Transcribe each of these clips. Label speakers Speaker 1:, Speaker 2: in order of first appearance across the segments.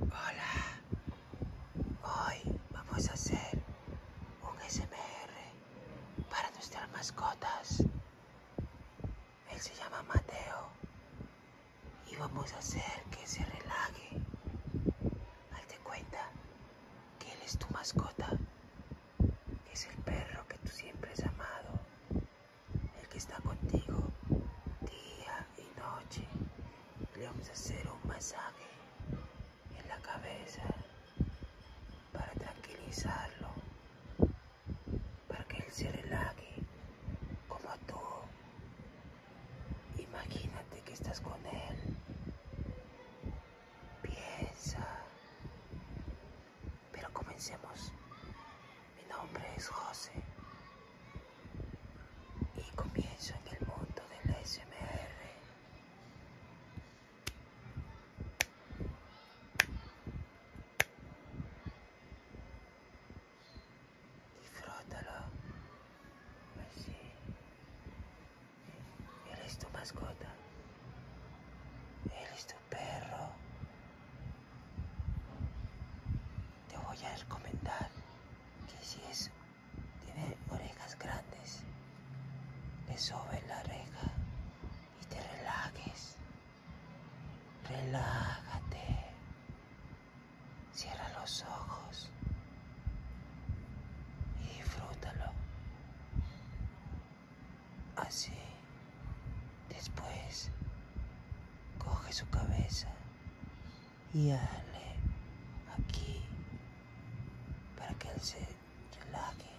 Speaker 1: Hola, hoy vamos a hacer un SMR para nuestras mascotas. Él se llama Mateo y vamos a hacer que se relaje. Hazte cuenta que él es tu mascota, es el perro que tú siempre has amado, el que está contigo día y noche le vamos a hacer un masaje en la cabeza para tranquilizarlo, para que él se relaje como tú. Imagínate que estás con él. Piensa. Pero comencemos mi nombre es José y comienzo en el mundo del SMR. Disfrútalo. Pues Él es tu mascota. Eres tu perro. Te voy a recomendar que si es, tiene orejas grandes, le sube la oreja y te relajes. Relájate. Cierra los ojos y disfrútalo. Así, después, coge su cabeza y aquí para que él se relaje.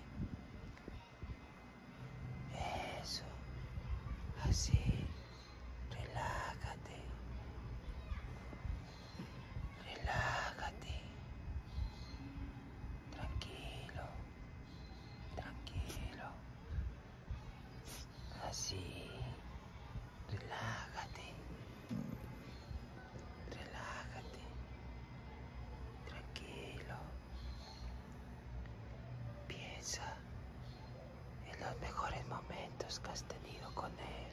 Speaker 1: Eso, así, relájate, relájate, tranquilo, tranquilo. Así. Relájate. Relájate. Tranquilo. Piensa en los mejores momentos que has tenido con él.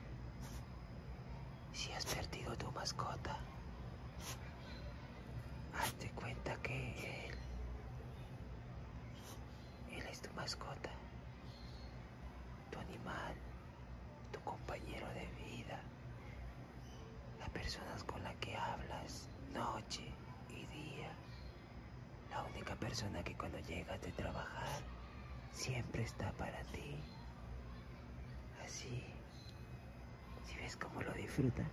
Speaker 1: Si has perdido tu mascota, hazte cuenta que él, es tu mascota tu animal, tu compañero de vida, las personas con la que hablas noche y día, la única persona que cuando llegas de trabajar siempre está para ti. Así, si ves cómo lo disfruta,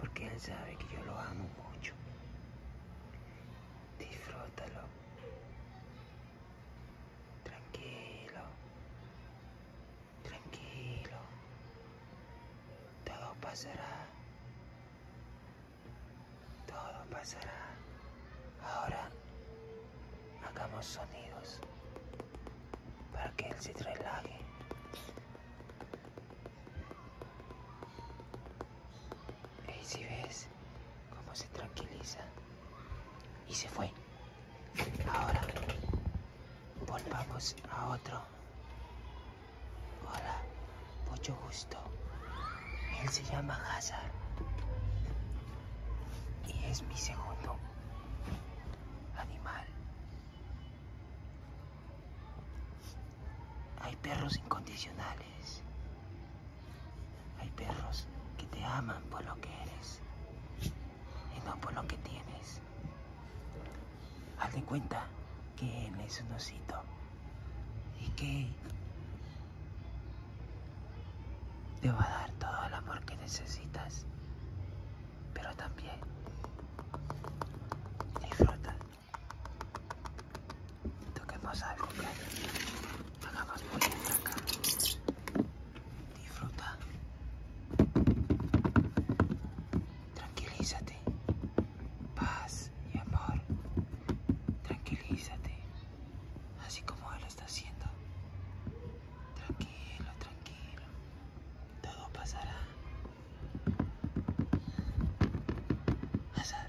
Speaker 1: porque él sabe que yo lo amo mucho disfrútalo, tranquilo, tranquilo, todo pasará, todo pasará. Ahora hagamos sonidos para que él se relaje. Y si ves cómo se tranquiliza y se fue. Ahora volvamos a otro. Hola, mucho gusto. Él se llama Hazard y es mi segundo animal. Hay perros incondicionales. Hay perros que te aman por lo que eres y no por lo que tienes. Haz cuenta que él es un osito y que te va a dar todo el amor que necesitas, pero también disfruta Toquemos algo que hagamos polenta acá. Disfruta. Tranquilízate. Paz y amor. Tranquilízate. Así como él lo está haciendo. Tranquilo, tranquilo. Todo pasará. Azar.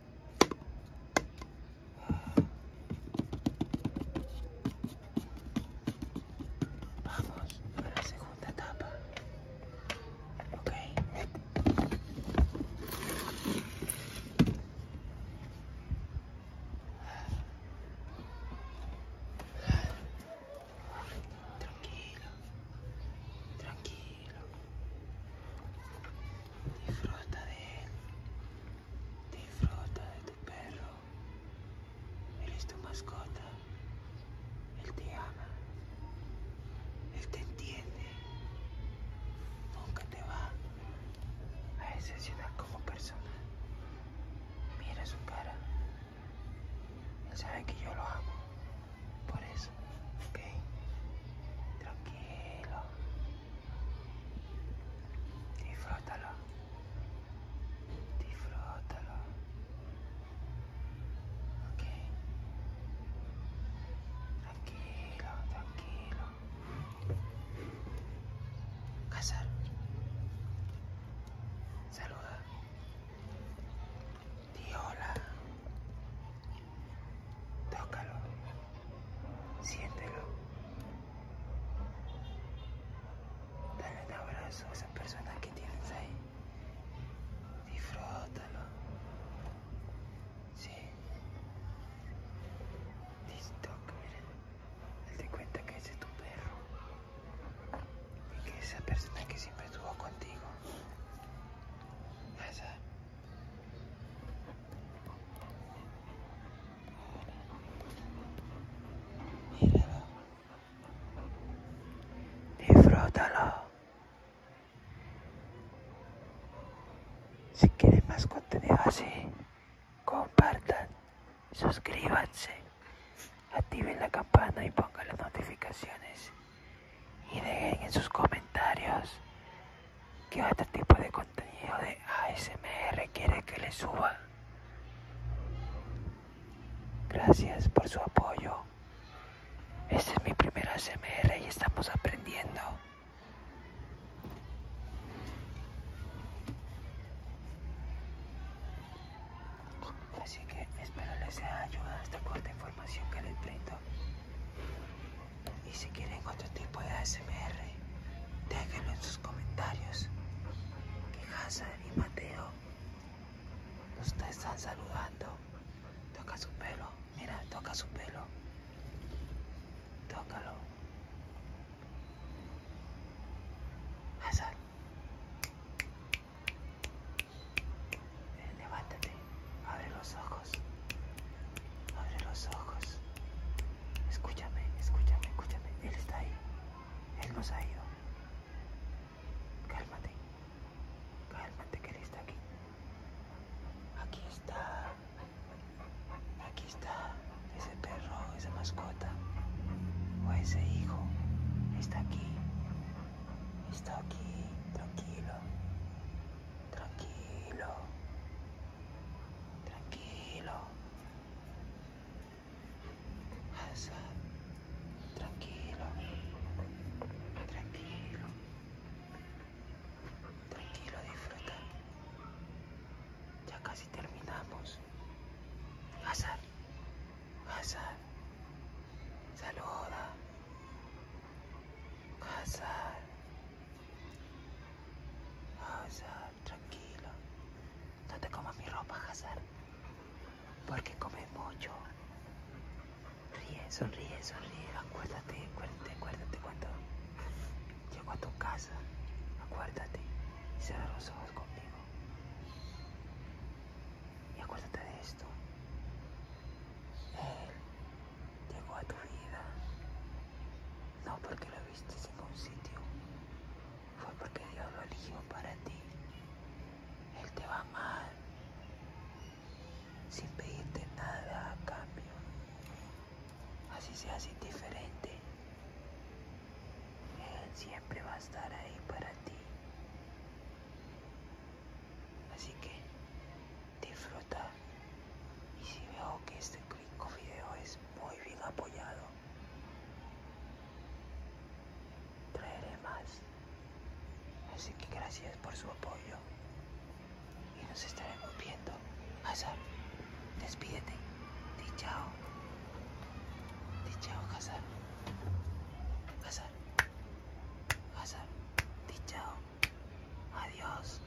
Speaker 1: Vamos a la segunda etapa. Tranquilo. Tranquilo. Disfruta de él. Disfruta de tu perro. Eres tu mascota. Él te ama. Él te entiende. Nunca te va a decepcionar como persona. Mira su cara. Él sabe que yo lo amo. Por eso. Ok. Tranquilo. Disfrútalo. Disfrútalo. Ok. Tranquilo, tranquilo. Casar. Saluda. Di hola. Tócalo. Siéntelo. Dale un abrazo a esa persona que tienes ahí. disfrótalo Sí. TikTok, miren. Date cuenta que ese es tu perro. Y que esa persona que siempre estuvo contigo. Esa. Míralo. Disfrútalo. Si quieren más contenido así, compartan, suscríbanse, activen la campana y pongan las notificaciones. Y dejen en sus comentarios ¿Qué otro este tipo de contenido de ASMR quiere que le suba? Gracias por su apoyo. Este es mi primer ASMR y estamos aprendiendo. Así que espero les sea ayuda esta corta información que les brindo. Y si quieren otro tipo de ASMR, déjenlo en sus comentarios. Que y Mateo nos están saludando. Toca su pelo, mira, toca su pelo. Tócalo. Hazard. Eh, levántate, abre los ojos. Abre los ojos. Escúchame, escúchame, escúchame. Él está ahí. Él nos ha ido. Cálmate. Cálmate que él está aquí. Aquí está. Aquí está. Ese perro, esa mascota. O ese hijo. Está aquí. Está aquí. Tranquilo. Tranquilo. Tranquilo. Hazar. Tranquilo. Tranquilo. Tranquilo, disfruta. Ya casi terminamos. Hazar. Hazar. Saluda. Hazar. Hazar tranquilo. No te comas mi ropa, Hazard. Porque comes mucho. Ríe, sonríe, sonríe. Acuérdate, acuérdate, acuérdate cuando llego a tu casa. Acuérdate y cerrar los ojos conmigo. Y acuérdate de esto. Él llegó a tu vida no porque lo viste en un sitio, fue porque Dios lo eligió para ti. Él te va a amar sin pedirte nada a cambio. Así seas indiferente, Él siempre va a estar ahí para ti. Así que disfruta y si veo que este el Video es muy bien apoyado. Traeré más. Así que gracias por su apoyo. Y nos estaremos viendo. Hazar, despídete. Di chao. Di chao, Hazar. Hazar. Hazar. Di Adiós.